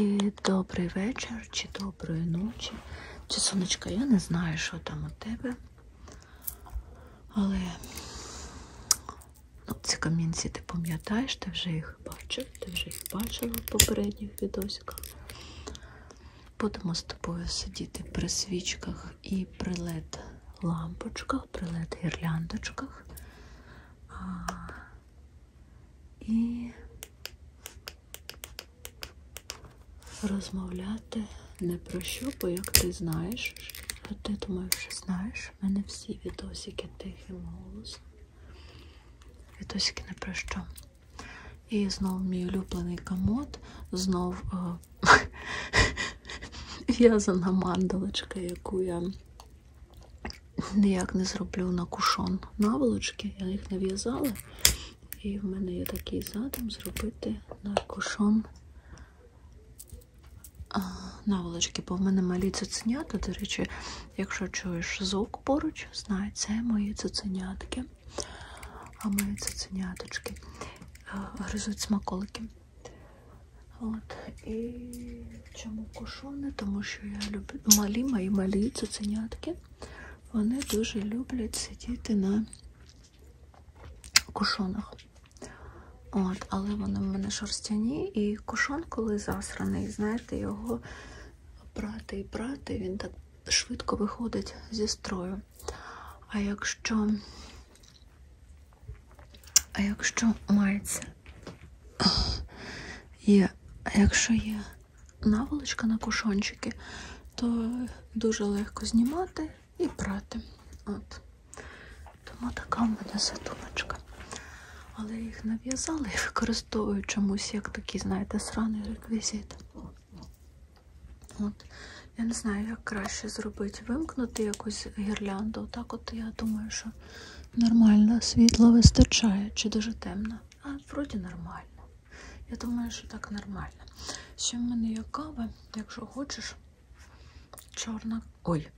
І добрий вечір чи доброї ночі. Чи сонечка, я не знаю, що там у тебе. Але ну, ці камінці ти пам'ятаєш, ти вже їх бачив, ти вже їх бачила в попередніх відосиках. Будемо з тобою сидіти при свічках і при led лампочках, при led гірляндочках і розмовляти не про що, бо як ти знаєш, а ти думаю, що знаєш, в мене всі відосики тихим голосом. Відосики не про що. І знов мій улюблений комод, знов в'язана е, мандалочка, яку я ніяк не зроблю на кушон наволочки. Я їх нав'язала. І в мене є такий задум зробити на кушон наволочки, бо в мене малі цуценята. До речі, якщо чуєш звук поруч, знай, це мої цуценятки. А мої цуценяточки гризуть смаколики. От, і Чому кушони? Тому що я люблю малі мої малі цуценятки. Вони дуже люблять сидіти на кушонах. От, Але вони в мене шерстяні, і кушон, коли засраний, знаєте, його прати і прати, він так швидко виходить зі строю. А якщо а якщо мається і якщо є наволочка на кушончики, то дуже легко знімати і прати. От. Тому така в мене сатуночка. Але їх нав'язали і використовують чомусь, як такий, знаєте, сраний реквізит. От. Я не знаю, як краще зробити. Вимкнути якусь гірлянду. Так от я думаю, що Нормально, світла вистачає чи дуже темно. А, вроді нормально. Я думаю, що так нормально. Ще в мене є кава, якщо хочеш, чорна. Ой,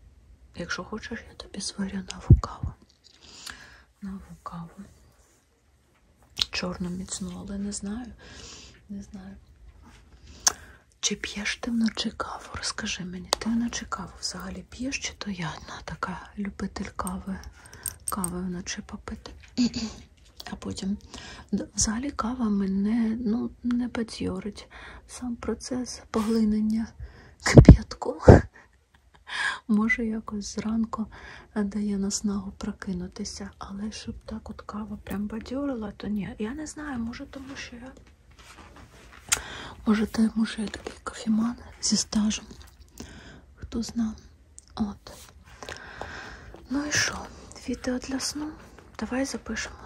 якщо хочеш, я тобі сварю нову каву. Нову каву. Чорну міцну, але не знаю. Не знаю. Чи п'єш ти вночі каву? Розкажи мені, ти вночі каву взагалі п'єш, чи то я одна така я любитель кави, кави вночі попити. А потім взагалі кава мене ну, не бадьорить. Сам процес поглинення кип'ятку. Може, якось зранку дає наснагу прокинутися. Але щоб так от кава прям бадьорила, то ні. Я не знаю, може, тому що я. Може, тому що я такий кофеман зі стажем. Хто знав? От. Ну і що? Відео для сну? Давай запишемо.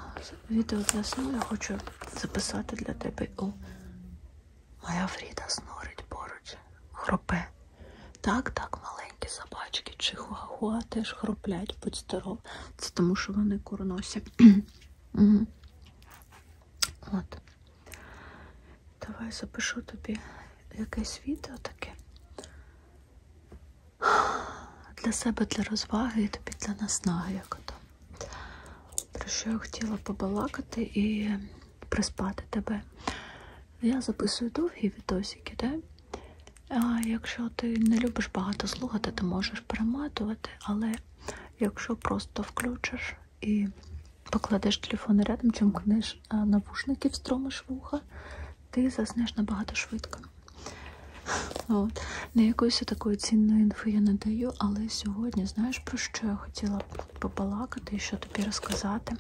Відео для сну я хочу записати для тебе у Моя Фріда снорить поруч. Хропе. Так, так, маленькі собачки чи хуахуа теж хроплять, будь здоров. Це тому що вони курносі. От. Давай запишу тобі якесь відео таке. Для себе, для розваги і тобі для наснаги, як ото. Про що я хотіла побалакати і приспати тебе. Я записую довгі відосики, де? А якщо ти не любиш багато слухати, то можеш перематувати, але якщо просто включиш і покладеш телефон рядом, чим кнеш навушники, встромиш вуха, ти заснеш набагато швидко. От. Не якоїсь такої цінної інфи я не даю, але сьогодні знаєш, про що я хотіла побалакати і що тобі розказати.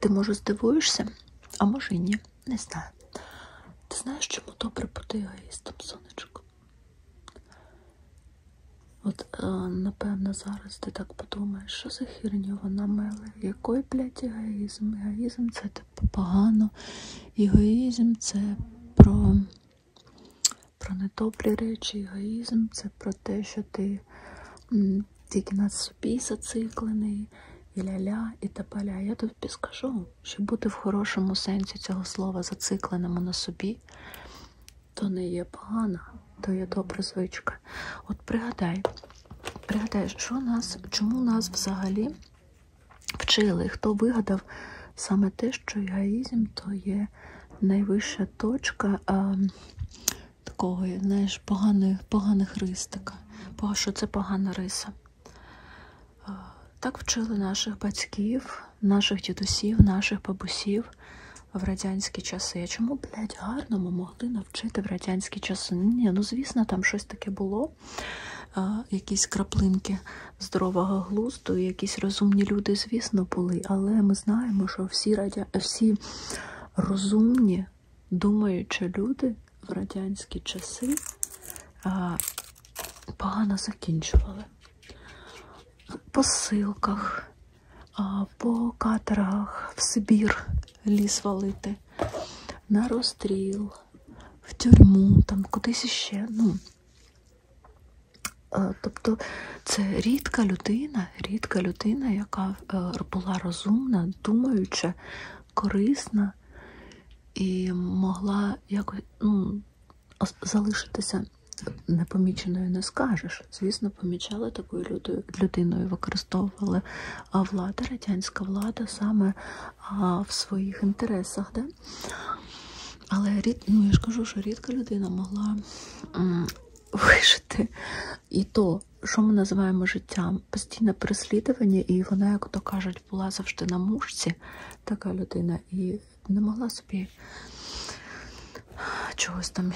Ти, може, здивуєшся, а може і ні, не знаю. Ти знаєш, чому добре бути егоїстом, сонечко? От, е, напевно, зараз ти так подумаєш, що за херню вона меле, який, блядь, егоїзм? Егоїзм це типу погано, егоїзм це про про недобрі речі, егоїзм це про те, що ти м, тільки на собі зациклений, і ля-ля, і та-паля. Я тобі скажу, що бути в хорошому сенсі цього слова зацикленому на собі, то не є погана, то є добра звичка. От пригадай, пригадай, що нас, чому нас взагалі вчили? Хто вигадав саме те, що гаїзм то є найвища точка а, такого, знаєш, поганих, поганих рис така, що це погана риса. Так вчили наших батьків, наших дідусів, наших бабусів в радянські часи. Чому, блядь, гарно ми могли навчити в радянські часи? Ні, ну звісно, там щось таке було. Якісь краплинки здорового глузду, якісь розумні люди, звісно, були. Але ми знаємо, що всі радя... всі розумні, думаючі люди в радянські часи а, погано закінчували посилках, по катерах в Сибір ліс валити, на розстріл, в тюрму, там кудись іще. Ну, е, Тобто це рідка людина, рідка людина, яка е, була розумна, думаюча, корисна і могла якось ну, залишитися непоміченою не скажеш. Звісно, помічали такою людиною, використовували влада, радянська влада саме в своїх інтересах. Да? Але рід, ну, я ж кажу, що рідка людина могла вижити і то. Що ми називаємо життям? Постійне переслідування, і вона, як то кажуть, була завжди на мушці, така людина і не могла собі чогось там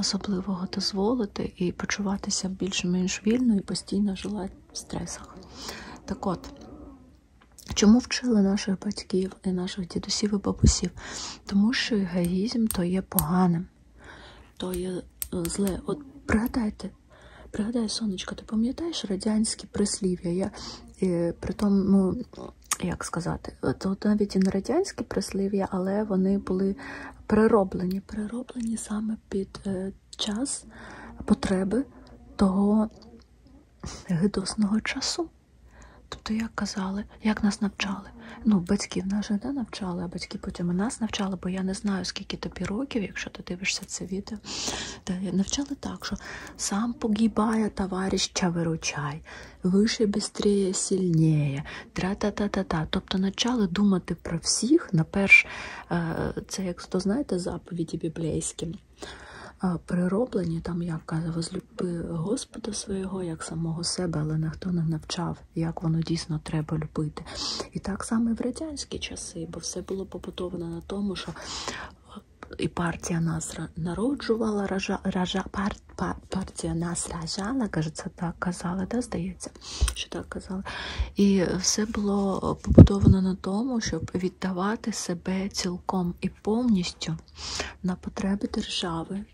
особливого дозволити і почуватися більш-менш вільно і постійно жила в стресах. Так от. Чому вчили наших батьків і наших дідусів і бабусів? Тому що егоїзм то є поганим, то є е, зле. От пригадайте, пригадай, сонечко, ти пам'ятаєш радянські прислів'я? Я і, е, при тому ну, як сказати, тут навіть і не радянські прислів'я, але вони були перероблені, перероблені саме під е, час потреби того гидосного часу. Тобто, як казали, як нас навчали. Ну, батьків нас же не навчали, а батьки потім і нас навчали, бо я не знаю, скільки тобі років, якщо ти дивишся це відео. Та навчали так, що сам погибає, товарища виручай вище, бистріє, сильніє, тра-та-та-та-та. Тобто почали думати про всіх, наперш, е, це як то знаєте, заповіді біблійські. Е, прироблені, там як каже, возлюби Господа свого, як самого себе, але ніхто не навчав, як воно дійсно треба любити. І так само і в радянські часи, бо все було побудовано на тому, що і партія нас народжувала, ража, ража, пар, пар, партія нас ражала, кажеться, так казали, да, здається, що так казали. І все було побудовано на тому, щоб віддавати себе цілком і повністю на потреби держави.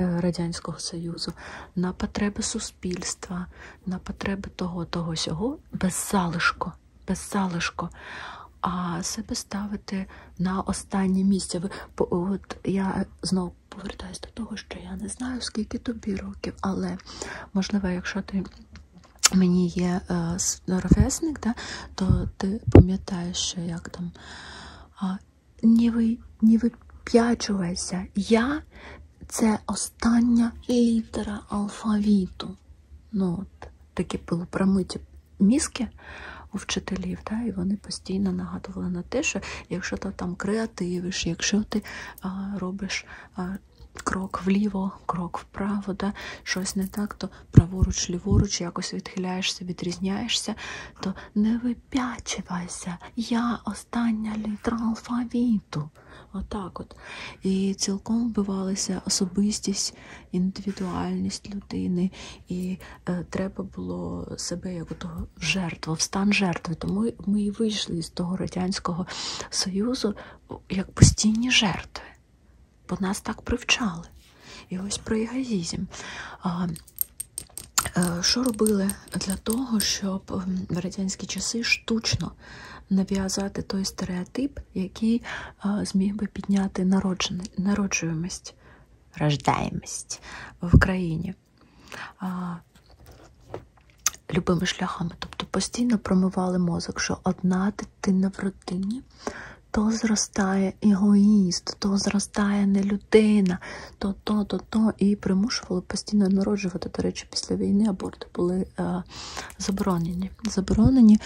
Е, Радянського Союзу, на потреби суспільства, на потреби того, того сього без залишку дно, без залишку, а себе ставити на останнє місце. Ви, от я знову повертаюся до того, що я не знаю, скільки тобі років, але можливо, якщо ти. Мені є е, ровесник, да, то ти пам'ятаєш, що як там не ви, не вип'ячувайся, я це остання літера алфавіту. Ну, от, Такі були промиті мізки у вчителів, да, і вони постійно нагадували на те, що якщо ти там креативиш, якщо ти а, робиш а, крок вліво, крок вправо, да, щось не так, то праворуч, ліворуч, якось відхиляєшся, відрізняєшся, то не вип'ячувайся, я остання літра алфавіту. Отак от. І цілком вбивалася особистість індивідуальність людини, і е, треба було себе як того жертва, в стан жертви. Тому ми і вийшли з того радянського союзу як постійні жертви, бо нас так привчали. І ось про егоїзм. Е, що робили для того, щоб ем, в радянські часи штучно нав'язати той стереотип, який е, зміг би підняти народжуваність, рождаємість в країні. Любими шляхами, тобто постійно промивали мозок, що одна дитина в родині, то зростає егоїст, то зростає не людина, то, то, то, то. І примушували постійно народжувати. До речі, після війни аборти були е, заборонені. заборонені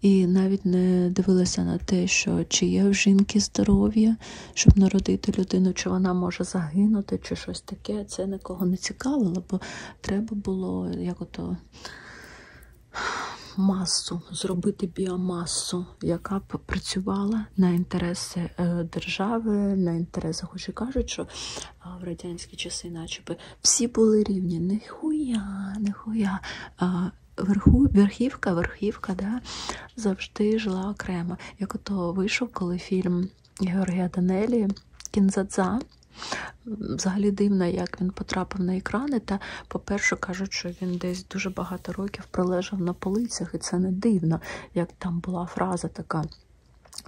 і навіть не дивилася на те, що чи є в жінки здоров'я, щоб народити людину, чи вона може загинути, чи щось таке. Це нікого не цікавило, бо треба було як ото. Масу зробити біомасу, яка б працювала на інтереси е, держави, на інтереси, хоч і кажуть, що е, в радянські часи, начебто, всі були рівні. Нихуя, нихуя верху, верхівка, верхівка да, завжди жила окремо. Як ото вийшов, коли фільм Георгія Данелі Кінзадза. Взагалі дивно, як він потрапив на екрани. Та, по-перше, кажуть, що він десь дуже багато років пролежав на полицях, і це не дивно, як там була фраза така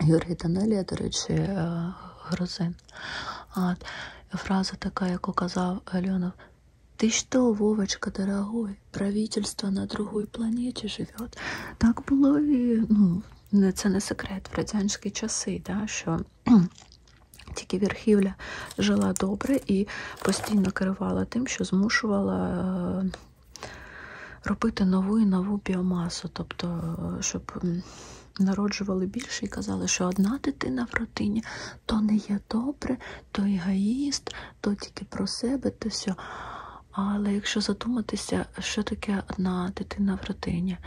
Георгій Данелія, до речі, е, Грозин. Фраза така, яку казав Альонов, Ты что, Вовочка, дорогой, правительство на другой планеті живет. Так було і ну, це ну, не секрет в радянські часи, да, що тільки верхівля жила добре і постійно керувала тим, що змушувала е, робити нову і нову біомасу, тобто, е, щоб народжували більше і казали, що одна дитина в родині то не є добре, то егоїст, то тільки про себе, то все. Але якщо задуматися, що таке одна дитина в родині,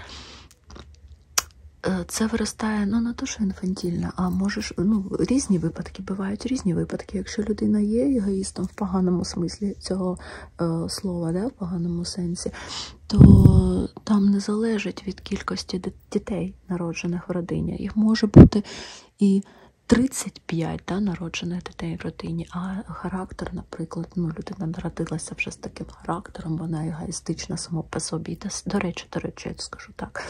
е, це виростає ну, не то, що інфантільно, а можеш, ну, різні випадки, бувають різні випадки. Якщо людина є егоїстом в поганому смислі цього е, слова, да, в поганому сенсі, то там не залежить від кількості дітей дітей, народжених в родині. Їх може бути і 35 да, народжених дітей в родині, а характер, наприклад, ну, людина народилася вже з таким характером, вона егоїстична сама по собі. До речі, до речі, я скажу так,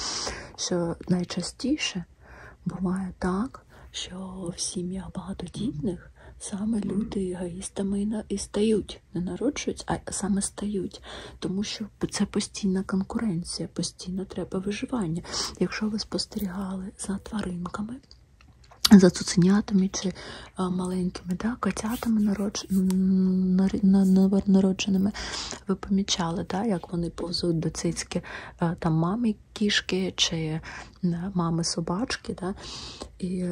що найчастіше буває так, що в сім'ях багатодітних саме люди егоїстами і стають стають, не народжують, а саме стають, тому що це постійна конкуренція, постійно треба виживання. Якщо ви спостерігали за тваринками. За цуценятами чи а, маленькими да, котятами народж... новонародженими ви помічали, да, як вони повзуть до цицьки а, там мами кішки чи мами собачки. Да, І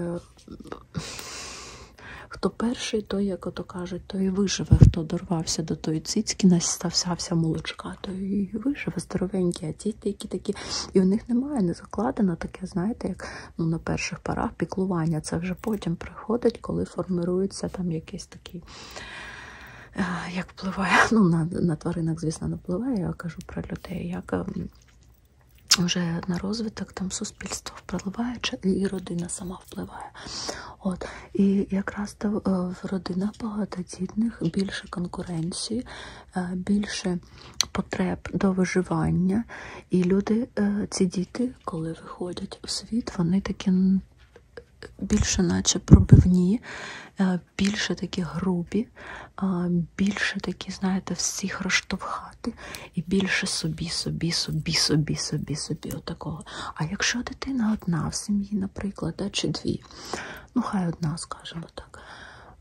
Хто перший, той, як ото кажуть, той і виживе, хто дорвався до тої цицьки, настався молочка, той і виживе здоровенькі, а ті які такі. І у них немає, не закладено таке, знаєте, як ну, на перших парах піклування. Це вже потім приходить, коли формирується там якийсь такий. Е, як впливає, ну на на тваринок, звісно, не впливає, я кажу про людей, як ем, вже на розвиток там суспільство впливає, і родина сама мама впливає. От. І якраз е, в родинах багатодітних більше конкуренції, е, більше потреб до виживання. І люди, е, ці діти, коли виходять у світ, вони такі більше, наче пробивні, більше такі грубі, більше такі, знаєте, всіх розштовхати і більше собі, собі, собі, собі, собі, собі. отакого. А якщо дитина одна в сім'ї, наприклад, да, чи дві, ну хай одна, скажімо так.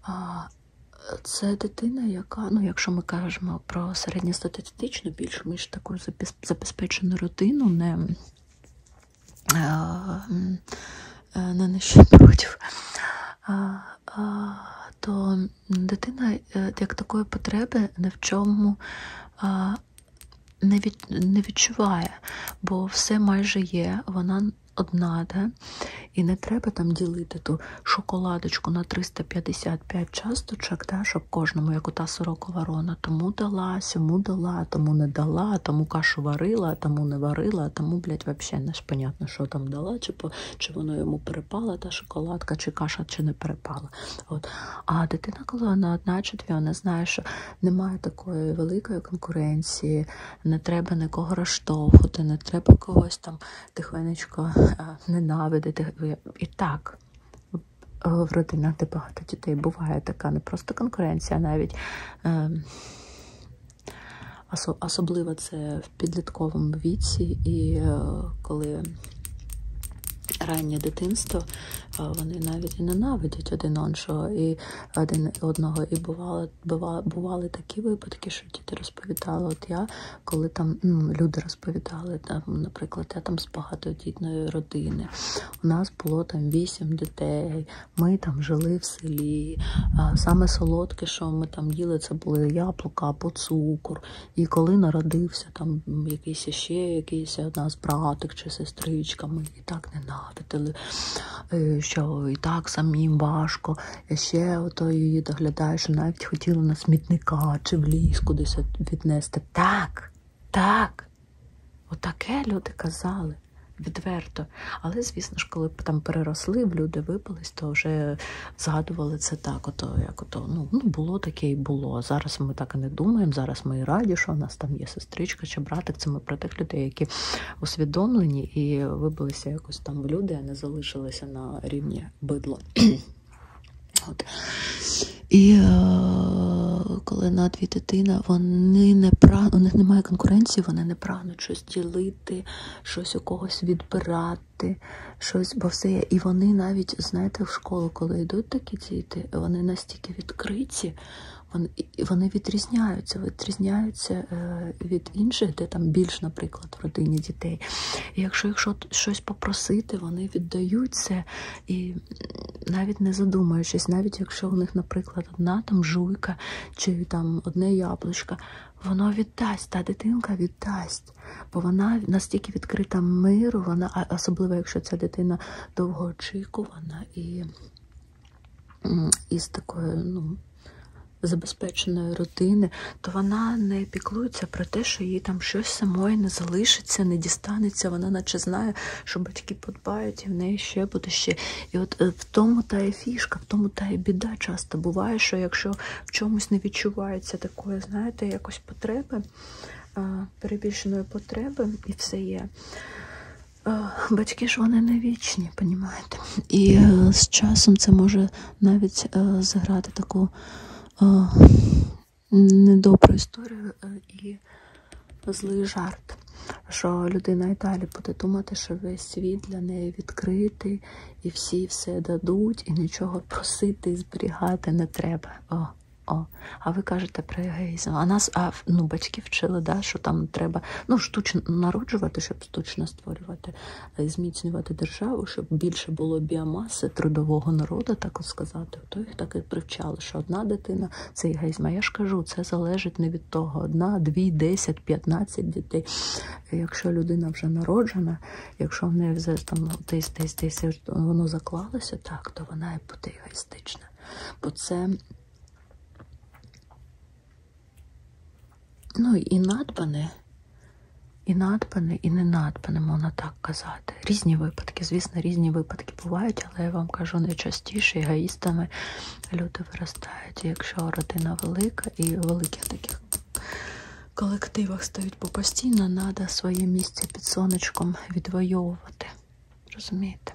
А, це дитина, яка, ну якщо ми кажемо про середньостатистичну, більш ми ж таку забезпечену родину, не е, е, не нещадків, то дитина е, як такої потреби не в чому не від, не відчуває, бо все майже є, вона одна, да? і не треба там ділити ту шоколадочку на 355 часточок, да? щоб кожному, як ота сорокова рона, тому дала, сьому дала, тому не дала, тому кашу варила, тому не варила, тому, блядь, взагалі не ж понятно, що там дала, чи по, чи воно йому перепала та шоколадка, чи каша, чи не перепала. От. А дитина, коли вона одна чи дві, вона знає, що немає такої великої конкуренції, не треба нікого розштовхувати, не треба когось там тихенечко е, ненавидити. І так. В родинах, де багато дітей буває така не просто конкуренція, а навіть е, особливо це в підлітковому віці, і е, коли раннє дитинство, вони навіть і ненавидять один іншого і один одного. І бували, бували, бували такі випадки, що діти розповідали. От я коли там ну, люди розповідали, там, наприклад, я там з багатодітної родини. У нас було там вісім дітей, ми там жили в селі. Саме солодке, що ми там їли, це були яблука або цукор. І коли народився там якийсь ще якийсь одна з братик чи сестричка, ми і так ненавидили, е, що і так самим важко. І ще ото її доглядає, що навіть хотіла на смітника чи в ліс кудись віднести. Так, так. Отаке люди казали. Відверто, але звісно ж, коли там переросли, в люди випались, то вже згадували це це так, ото як ото ну ну було таке і було. Зараз ми так і не думаємо. Зараз ми і раді, що в нас там є сестричка чи братик. Це ми про тих людей, які усвідомлені і вибилися якось там в люди, а не залишилися на рівні бидло. От. І е, коли на дві дитини, вони не прагнуть, у них немає конкуренції, вони не прагнуть щось ділити, щось у когось відбирати, щось бовсеє. І вони навіть, знаєте, в школу, коли йдуть такі діти, вони настільки відкриті, вони вони відрізняються, відрізняються е, від інших, де там більш, наприклад, в родині дітей. І якщо їх щось попросити, вони віддаються і навіть не задумуючись, навіть якщо у них, наприклад, одна там жуйка чи там одне яблучко, воно віддасть, та дитинка віддасть гаразд. Бо вона настільки відкрита миру, вона, особливо якщо ця дитина довгоочікувана і, і з такою, ну. Забезпеченої родини, то вона не піклується про те, що їй там щось самої не залишиться, не дістанеться. Вона наче знає, що батьки подбають, і в неї ще буде ще. І от е, в тому та і фішка, в тому та і біда часто буває, що якщо в чомусь не відчувається такої, знаєте, якось потреби, е, перебільшеної потреби і все є. Е, батьки ж вони не вічні, понімаєте? І е, з часом це може навіть е, заграти таку е, недобру історію е, і злий жарт, що людина і далі буде думати, що весь світ для неї відкритий, і всі все дадуть, і нічого просити і зберігати не треба. О. О, А ви кажете про егоїзм. А нас а, ну, батьки вчили, да, що там треба ну, штучно народжувати, щоб штучно створювати, е, зміцнювати державу, щоб більше було біомаси трудового народу, так сказати. То їх так і привчали, що одна дитина це егоїзм. А я ж кажу, це залежить не від того: одна, дві, десять, п'ятнадцять дітей. Якщо людина вже народжена, якщо в неї вже там десь десь десь вже воно заклалося так, то вона і буде егоїстична. Бо це ну, і надбане, і надбане, і не надбане, можна так казати. Різні випадки, звісно, різні випадки бувають, але я вам кажу, найчастіше егоїстами люди виростають. Якщо родина велика і великих таких. Коли колективах стають, бо постійно треба своє місце під сонечком відвоювати. Розумієте?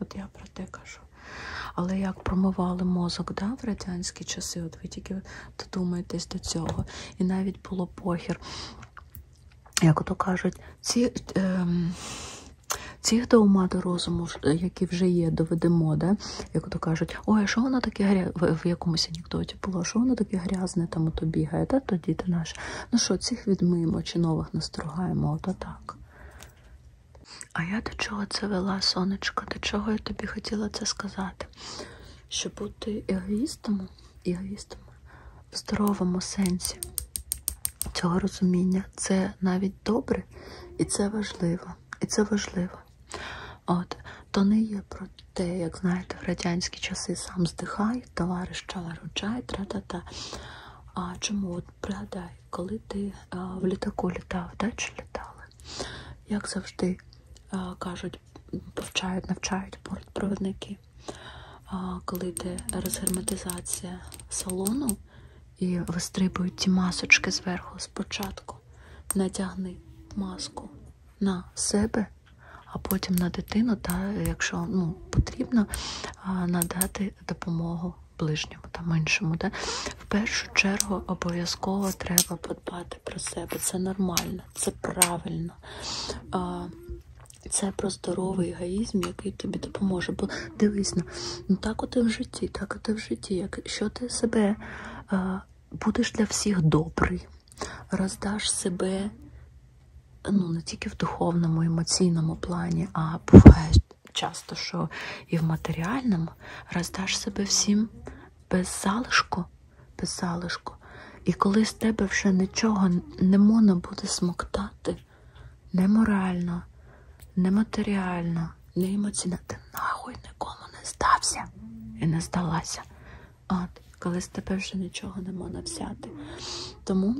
От я про те кажу. Але як промивали мозок да, в радянські часи, от ви тільки додумаєтесь до цього. І навіть було похір. Як ото кажуть, ці е, цих до ума до розуму, е, які вже є, доведемо, да? як ото кажуть, ой, що воно таке в якомусь анекдоті роботі було, що воно таке грязне там ото бігає, та то діти наші. Ну що, цих відмиємо чи нових настругаємо, ото так. А я до чого це вела, сонечко, до чого я тобі хотіла це сказати? Щоб бути егоїстом, егоїстом в здоровому сенсі цього розуміння, це навіть добре, і це важливо. І це важливо. От, То не є про ти, як знаєте, в радянські часи сам здихай, товариш чай, тра-та-та. А чому? От пригадай, коли ти а, в літаку літав, да, чи літали? Як завжди а, кажуть, повчають, навчають бортпровідники, а, коли йде розгерметизація салону і вистрибують ті масочки зверху, спочатку надягни маску на себе, а потім на дитину, та якщо ну, потрібно, надати допомогу ближньому та іншому. Та? В першу чергу обов'язково треба подбати про себе. Це нормально, це правильно. Це про здоровий егоїзм, який тобі допоможе. Бо дивись, ну, ну так от і в житті, так от і в житті. Як, Що ти себе будеш для всіх добрий? роздаш себе ну, не тільки в духовному, емоційному плані, а буває часто, що і в матеріальному роздаш себе всім без залишку, без залишку. І коли з тебе вже нічого не можна буде смоктати не морально, не матеріально, не емоційно, ти нахуй нікому не здався і не здалася ад, коли з тебе вже нічого не можна взяти. Тому,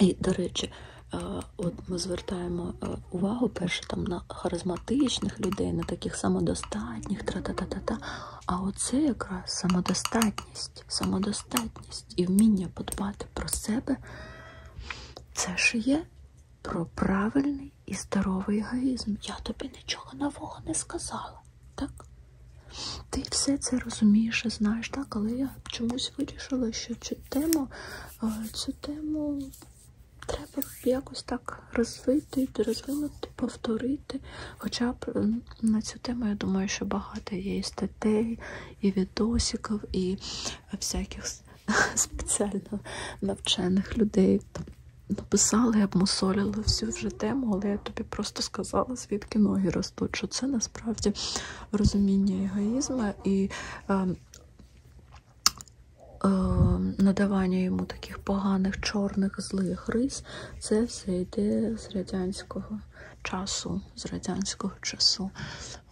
і, до речі, е, От ми звертаємо е, увагу перше там на харизматичних людей, на таких самодостатніх, тра-та-та-та-та. А оце якраз самодостатність, самодостатність і вміння подбати про себе це ж є про правильний і здоровий егоїзм. Я тобі нічого нового не сказала так? Ти все це розумієш і знаєш, так? Але я чомусь вирішила, що цю тему, цю тему треба якось так розвити, розвинути, повторити. Хоча б на цю тему, я думаю, що багато є і статей, і відосиків, і всяких спеціально навчених людей. Написали, обмусолили всю вже тему, але я тобі просто сказала, того, звідки ноги ростуть, що це насправді розуміння егоїзму і е, е, надавання йому таких поганих, чорних, злих рис, це все йде з радянського часу, з радянського часу.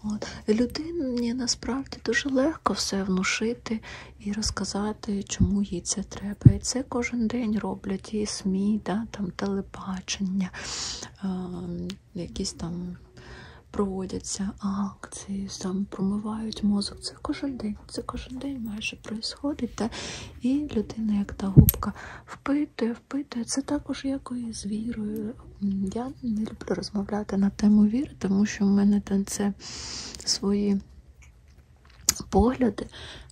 От. І людині насправді дуже легко все внушити і розказати, чому їй це треба. І це кожен день роблять роблять і СМІ, да, там телебачення, е, якісь там проводяться акції, там промивають мозок. Це кожен день, це кожен день майже проїсходить. Да? І людина, як та губка, впитує, впитує. Це також якою з вірою. Я не люблю розмовляти на тему віри, тому що в мене там це свої погляди,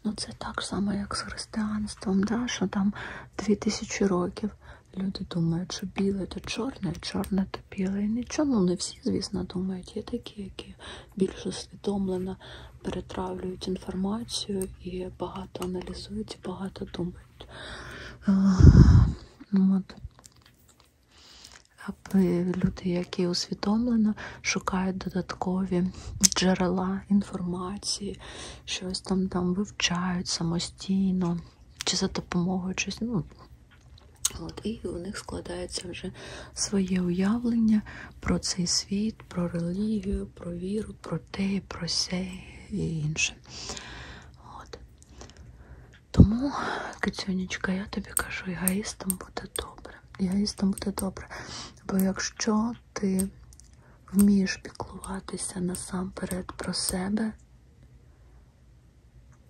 ну це так само, як з християнством, да? що там дві тисячі років люди думають, що біле то чорне, чорне то біле. І нічого, ну не всі, звісно, думають. Є такі, які більш усвідомлено перетравлюють інформацію і багато аналізують, і багато думають. Е, ну, от. Люди, які усвідомлено шукають додаткові джерела інформації, щось там там вивчають самостійно чи за допомогою чогось. Ну, От, І у них складається вже своє уявлення про цей світ, про релігію, про віру, про те, про се і інше. От. Тому, Кицюнечка, я тобі кажу, егоїстам буде добре. Егоїстам буде добре. Бо якщо ти вмієш піклуватися насамперед про себе,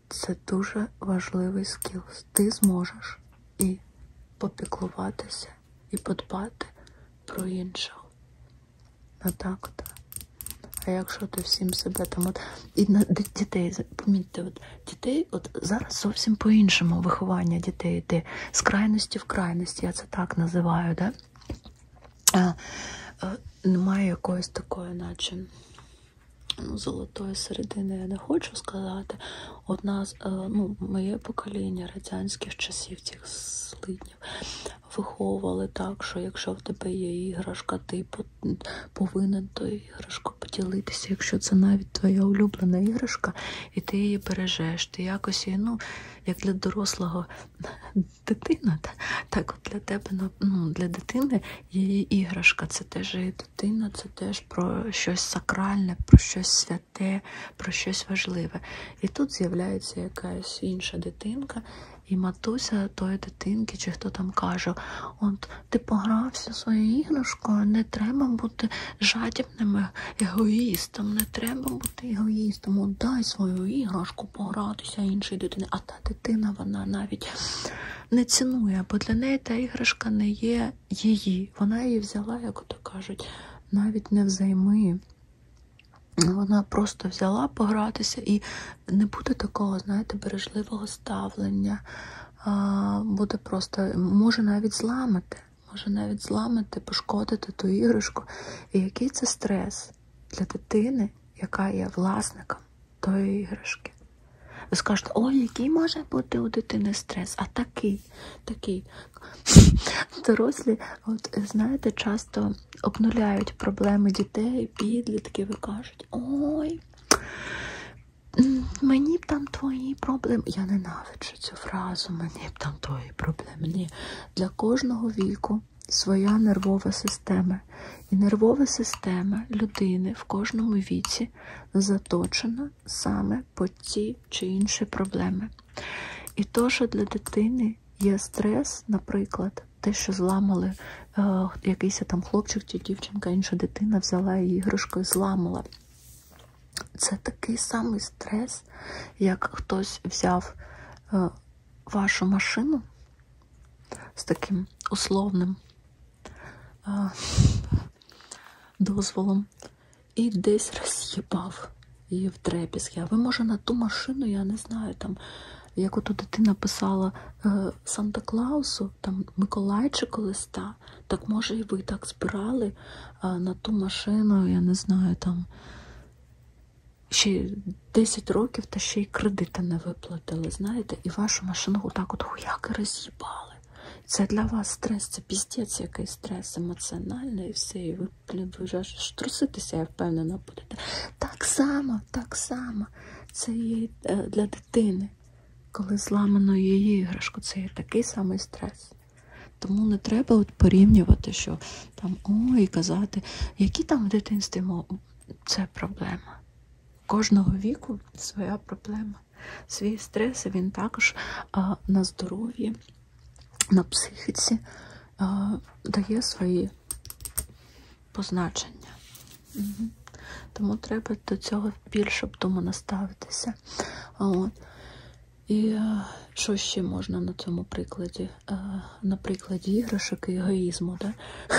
це дуже важливий скіл. Ти зможеш і попіклуватися, і подбати про інших. А так то. А якщо ти всім себе там от і на дітей, помітьте, от дітей, от зараз зовсім по-іншому виховання дітей йде з крайності в крайності. Я це так називаю, да? А, е, Немає якоїсь такої, наче ну, золотої середини, я не хочу сказати. Одна з е, ну, моє покоління радянських часів, тих слиднів, виховували так, що якщо в тебе є іграшка, ти повинен тою іграшкою поділитися. Якщо це навіть твоя улюблена іграшка, і ти її бережеш. Ти якось її, ну, як для дорослого дитина, так от для тебе, ну, ну, для дитини її іграшка. Це теж її дитина, це теж про щось сакральне, про щось святе, про щось важливе. І тут з'являється якась інша дитинка. І матуся тої дитинки, чи хто там каже, от ти погрався своєю іграшкою, не треба бути жадібним подібними егоїстом. Не треба бути егоїстом. От дай свою іграшку погратися іншої дитини. А та дитина вона навіть не цінує, бо для неї та іграшка не є її. Вона її взяла, як то кажуть, навіть не взайми. Вона просто взяла погратися і не буде такого, знаєте, бережливого ставлення. Буде просто, може навіть зламати може навіть зламати, пошкодити ту іграшку. І який це стрес для дитини, яка є власником тої іграшки? Ви скажете, ой, який може бути у дитини стрес, а такий, такий. Дорослі, от знаєте, часто обнуляють проблеми дітей, підлітків і кажуть, ой, мені б там твої проблеми. Я ненавиджу цю фразу, мені б там твої і проблемні. Для кожного віку своя нервова система. І нервова система людини в кожному віці заточена саме по ці чи інші проблеми. І то, що для дитини є стрес, наприклад, те, що зламали е, якийсь там хлопчик чи дівчинка, інша дитина взяла її іграшку і зламала. Це такий самий стрес, як хтось взяв е, вашу машину з таким условним е, дозволом і десь роз'їбав її в трепіски. А ви, може, на ту машину, я не знаю, там, як ото дитина писала е, Санта Клаусу, там Миколайчику листа, так може і ви так збирали на ту машину, я не знаю, там ще 10 років та ще й кредити не виплатили, знаєте, і вашу машину отак от хуяки роз'їбали. Це для вас стрес, це піздець, який стрес емоціональний і все, і ви вже труситися, я впевнена, будете. Так само, так само. Це є е, для дитини, коли зламано її іграшку, це є такий самий стрес. Тому не треба от порівнювати, що там ой, казати, які там в дитинстві мови. Це проблема. Кожного віку своя проблема. Свій стрес він також а, на здоров'ї, на психіці а, дає свої позначення. Угу. Тому треба до цього більше тому наставитися. От. І е, що ще можна на цьому прикладі? Е, на прикладі іграшок і егоїзму, да?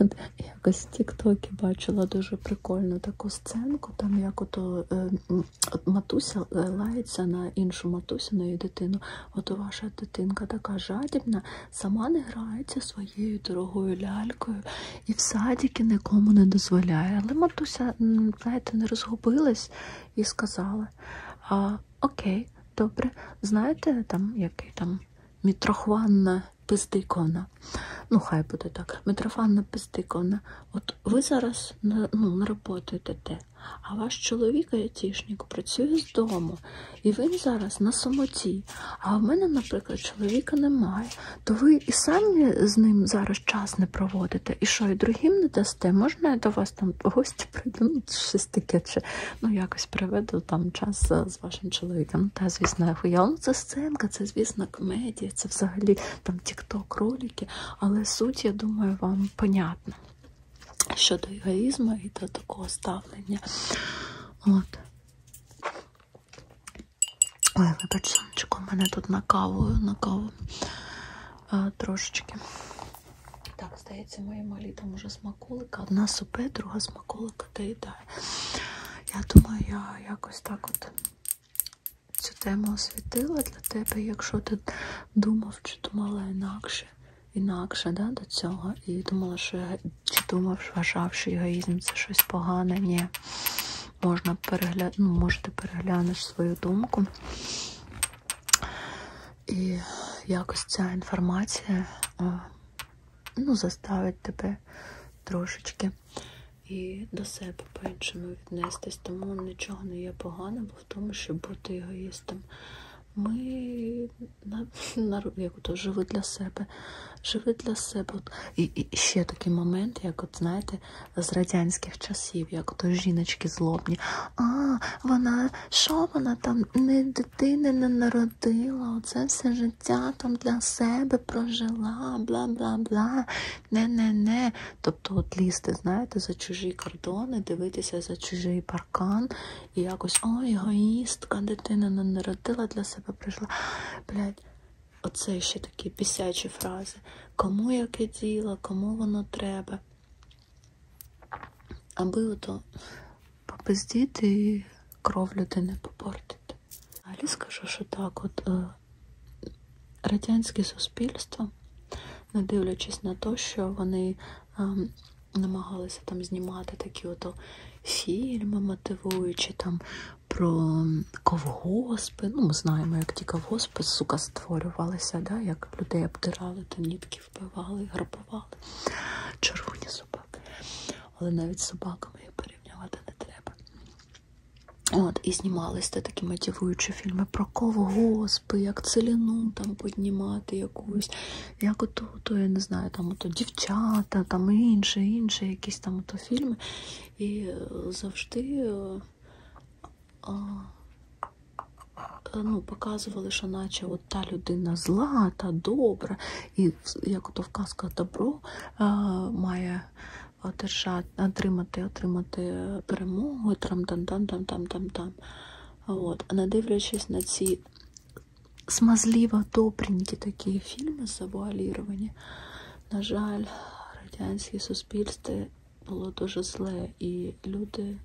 От якось в Тіктокі бачила дуже прикольну таку сценку, там як ото е, матуся лається на іншу матусю, на її дитину. От ваша дитинка така жадібна, сама не грається своєю дорогою лялькою і в садіки нікому не дозволяє. Але матуся там знаєте, не розгубилась і сказала: а, Окей, добре, знаєте, там який там мітрофанна пиздиковна. Ну, хай буде так, мітрофанна пиздиковна. От ви зараз на, ну, на роботу йдете, а ваш чоловік айтішник працює з дому, і він зараз на самоті. А в мене, наприклад, чоловіка немає то ви і самі з ним зараз час не проводите. І що, і другим не дасте? Можна я до вас там гості прийду? Ну, щось таке, чи ну якось приведу там час з вашим чоловіком. Та, звісно, я хуя. Ну, це сценка, це, звісно, комедія, це взагалі там тікток, ролики, але суть, я думаю, вам понятна щодо егоїзму і до такого ставлення. От. Ой, вибачте. Чеку в мене тут на каву, на каву а, е, трошечки. Так, здається, мої малі там уже смаколика. Одна супе, друга смаколика доїдає. Я думаю, я якось так от цю тему освітила для тебе, якщо ти думав, чи думала інакше. Інакше да, до цього. І думала, що я чи думав, вважав, що егоїзм це щось погане. Ні можна перегля... ну, можете переглянеш свою думку. І якось ця інформація ну, заставить тебе трошечки і до себе по-іншому віднестись. Тому нічого не є поганого в тому, щоб бути егоїстом. Ми на, на як то живи для себе, живи для себе. І, і ще такий момент, як от знаєте, жарти з радянських часів, як то жіночки злобні. А, вона що вона там не дитини не народила, оце все життя там для себе прожила, бла бла бла. Не-не-не. Тобто от лізти, знаєте, за чужі кордони, дивитися за чужий паркан і якось ой, егоїстка, дитина не народила, для себе прожила. Блять, Оце ще такі бісячі фрази. Кому яке діло, кому воно треба. Аби ото попиздіти і кров людини попортити. Далі скажу, що так, от е, радянське суспільство, не дивлячись на те, що вони е, намагалися там знімати такі ото фільми, мотивуючі там про ковгоспи. Ну, ми знаємо, як ті ковгоспи, сука, створювалися, да? як людей обдирали, то нітки вбивали, грабували. Червоні собаки. Але навіть собаками їх порівнювати не треба. От, І знімалися такі мотивуючі фільми про ковгоспи, як целіну там піднімати якусь, як ото, то, я не знаю, там ото дівчата, там інше, інше, якісь там ото фільми. І е, завжди е, Е, ну, показували, що наче от та людина зла, та добра, і як то вказка добро е, має одержати, отримати отримати перемогу, там там там там там там там От, не дивлячись на ці смазливо добренькі такі фільми завуаліровані, на жаль, радянське суспільство було дуже зле, і люди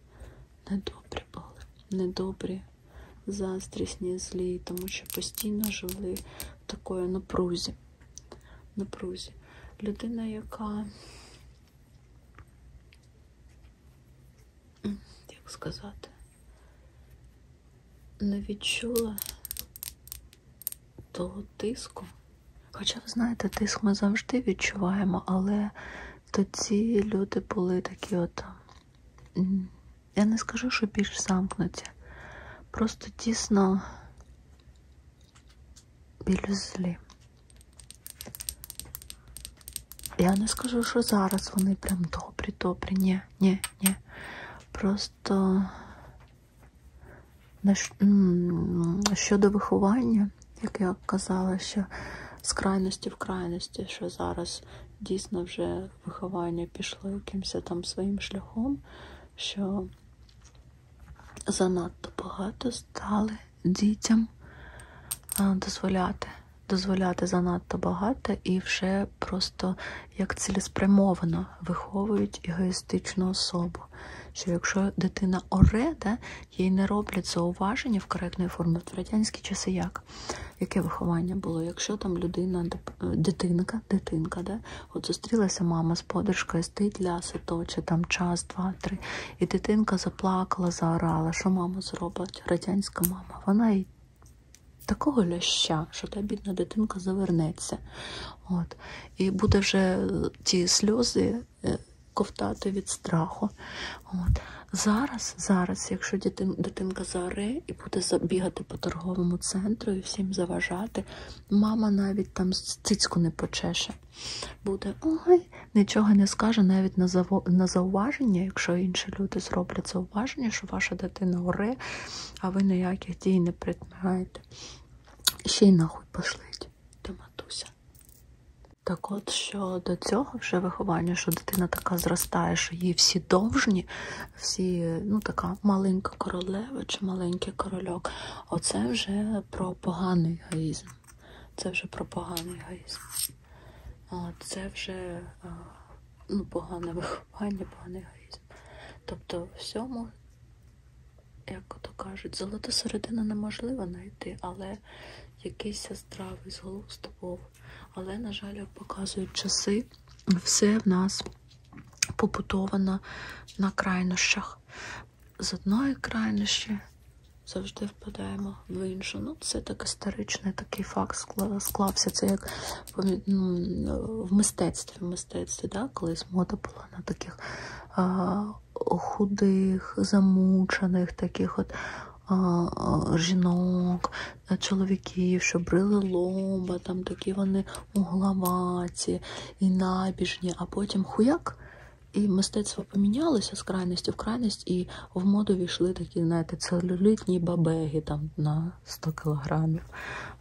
недобрі були, недобрі, заздрісні, злі, тому що постійно жили в такої напрузі. напрузі. Людина, яка, як сказати, не відчула того тиску. Хоча, ви знаєте, тиск ми завжди відчуваємо, але тоді люди були такі от. Я не скажу, що більш замкнуті. Просто дійсно більш злі. Я не скажу, що зараз вони прям добрі, добрі. Ні, ні, ні. Просто Щодо виховання, як я казала, що з крайності в крайності, що зараз дійсно вже виховання пішло якимось там своїм шляхом, що занадто багато стали дітям дозволяти. Дозволяти занадто багато і вже просто як цілеспрямовано виховують егоїстичну особу суспільство. Що якщо дитина оре, да, їй не роблять зауваження в коректної формі в радянські часи, як яке виховання було? Якщо там людина, е, дитинка, дитинка, да, от зустрілася мама з подружкою, стить ляси точе, там час, два, три, і дитинка заплакала, заорала, що мама зробить? Радянська мама, вона й. Такого ляща, що та бідна дитинка завернеться. От і буде вже е, ті сльози е, ковтати від страху. От. Зараз, зараз, якщо дитин, дитинка заоре і буде забігати по торговому центру і всім заважати, мама навіть там цицьку не почеше. Буде ой, нічого не скаже навіть на заво, на зауваження, якщо інші люди зроблять зауваження, що ваша дитина оре, а ви ніяких дій не приймаєте ще й нахуй пошлить до матуся. Так от щодо цього вже виховання, що дитина така зростає, що їй всі довжні, всі, ну така маленька королева чи маленький корольок, оце вже про поганий егоїзм. Це вже про поганий егоїзм. Це вже ну, погане виховання, поганий егоїзм. Тобто всьому як то кажуть, золоту середину неможливо знайти, але якийсь здравий зглузд був. Але, на жаль, як показують часи, все в нас побудовано на крайнощах. З одної крайнощі завжди впадаємо в іншу. Ну, це так історичний такий факт склався. Це як ну, в мистецтві, в мистецтві, да? колись мода була була на таких а, худих, замучених таких от а, жінок, е, чоловіків, що брили лоба, там такі вони угловаті і набіжні, а потім хуяк. І мистецтво помінялося з крайності в крайність, і в моду війшли такі, знаєте, целюлітні бабеги там на 100 кілограмів.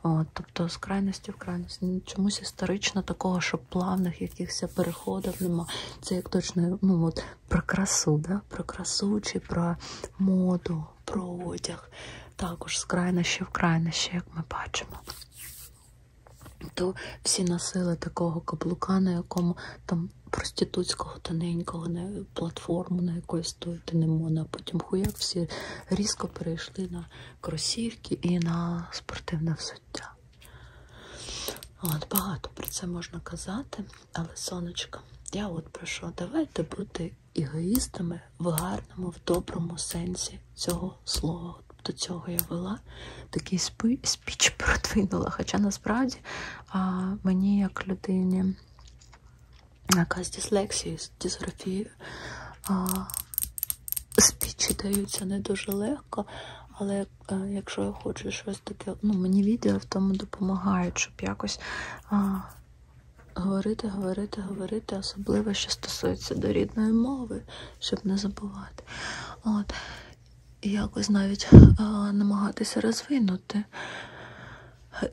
От, Тобто з крайності в крайність. Чомусь історично такого, що от плавних якихось переходів нема. Це як точно ну от про красу, да? про красу чи про моду, про одяг. Також з крайнощі в крайнощі, як ми бачимо. То всі носили такого каблука, на якому там проститутського тоненького на платформу на якої стояти не можна. А потім хуяк всі різко перейшли на кросівки і на спортивне взуття. От, Багато про це можна казати, але сонечко, я от прошу, давайте бути егоїстами в гарному, в доброму сенсі цього слова. До цього я вела такий спі... спіч продвинула. Хоча насправді а, мені, як людині, яка з дислексією, з дисграфією, спічі даються не дуже легко, але е, якщо я хочу щось таке, ну мені відео в тому допомагають, щоб якось а, говорити, говорити, говорити, особливо, що стосується до рідної мови, щоб не забувати. От, якось навіть а, е, намагатися розвинути.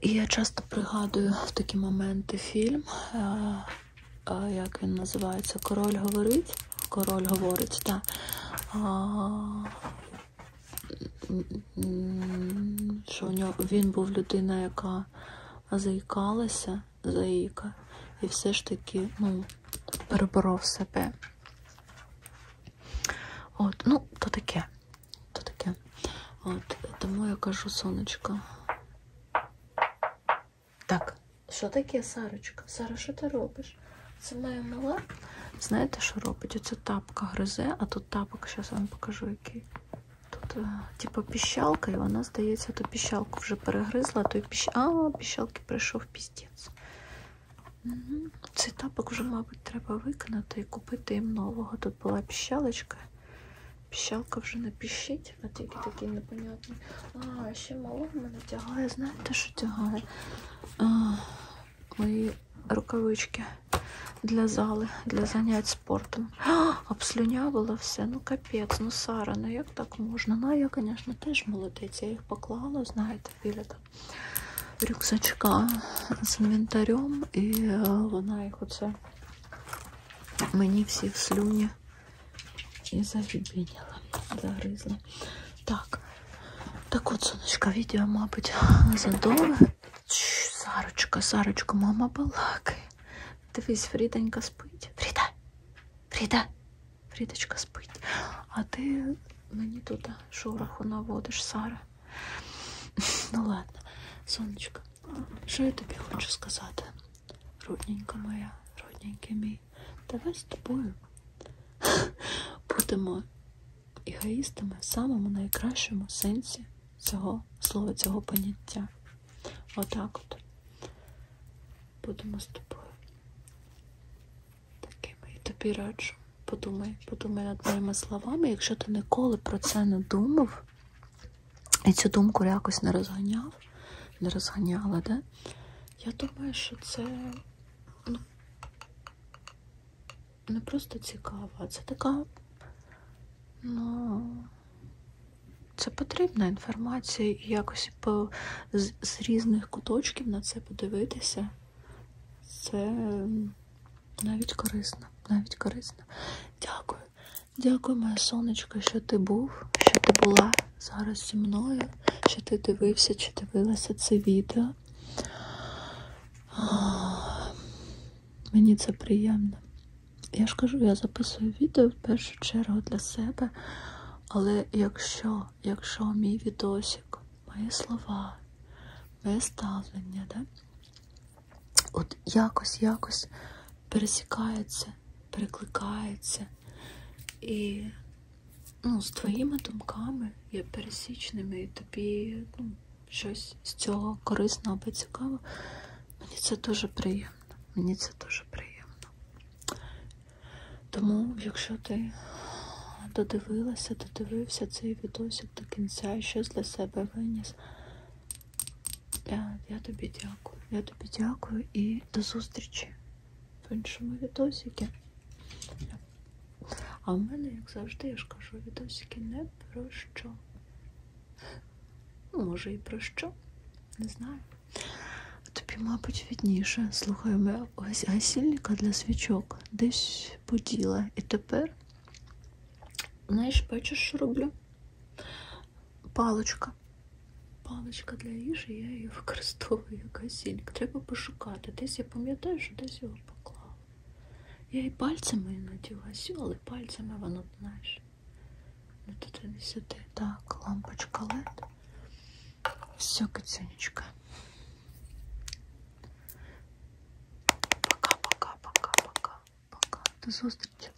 І я часто пригадую в такі моменти фільм е, як він називається, король говорить. Король говорить, так. Да. Що у нього він був людина, яка заїкалася, заїка, і все ж таки ну, переборов себе. От, Ну, то таке. то таке. От, Тому я кажу, сонечко. Так, що таке, Сарочка? Сара, що ти робиш? Це моя мила. Знаєте, що робить? Оце тапка гризе, а тут тапок, зараз вам покажу, який. Тут, е, типу, піщалка, і вона, здається, ту піщалку вже перегризла, то й піщ... а, піщалки прийшов піздець. Угу. Цей тапок вже, мабуть, треба викинути і купити їм нового. Тут була піщалочка. Піщалка вже не піщить а тільки такий непонятний. А, ще мало в мене тягає, знаєте, що тягає? А, Мої рукавички для зали, для занять спортом. А, Обслюнявила все, ну капець, ну Сара, ну як так можна? Ну, я, звісно, теж молодець. Я їх поклала, знаєте, біля там. Рюкзачка з інвентарем, і е, вона їх оце мені всі в слюні і завібіняла, загризла. Так, так от, сонечка, відео, мабуть, задовге. Сарочка, Сарочка, мама балакає. Дивись, Фріденька спить. Фріда, Фріда, Фрідочка спить. А ти мені тут шороху наводиш, Сара. Ну ладно, сонечка, що я тобі хочу сказати? Родненька моя, родненький мій, давай з тобою будемо егоїстами в самому найкращому сенсі цього слова, цього поняття. Отак от будемо з тобою. Такими і тобі раджу. Подумай, подумай над моїми словами, якщо ти ніколи про це не думав. І цю думку якось не розганяв, не розганяла, да? Я думаю, що це ну, не просто цікаво, а це така, ну, це потрібна інформація і якось по, з, з різних куточків на це подивитися. Це навіть корисно, навіть корисно. Дякую. Дякую, моя сонечко, що ти був, що ти була зараз зі мною, що ти дивився чи дивилася це відео. Мені це приємно. Я ж кажу, я записую відео в першу чергу для себе. Але якщо якщо мій відосик, мої слова, моє ставлення, да? от якось якось пересікається, перекликається, і ну, з твоїми думками є пересічними, і тобі ну, щось з цього корисно або цікаво. Мені це дуже приємно. Мені це дуже приємно. Тому, якщо ти додивилася, додивився цей відосик до кінця і щось для себе виніс, я, я тобі дякую. Я тобі дякую і до зустрічі в іншому відосіки. А в мене, як завжди, я ж кажу, відосики не про що. Ну, може, і про що? Не знаю. Тобі, мабуть, відніше. Слухай, ми ось гасільника для свічок десь поділа. І тепер, знаєш, бачиш, що роблю? паличка. Паличка для їжі, я її використовую як гасільник. Треба пошукати. Десь я пам'ятаю, що десь його поклала. Я і пальцями іноді гасю, але пальцями воно, знаєш, не туди не сюди. Так, лампочка лед. Все, кацюнечка. Пока-пока-пока-пока. Пока. До зустрічі.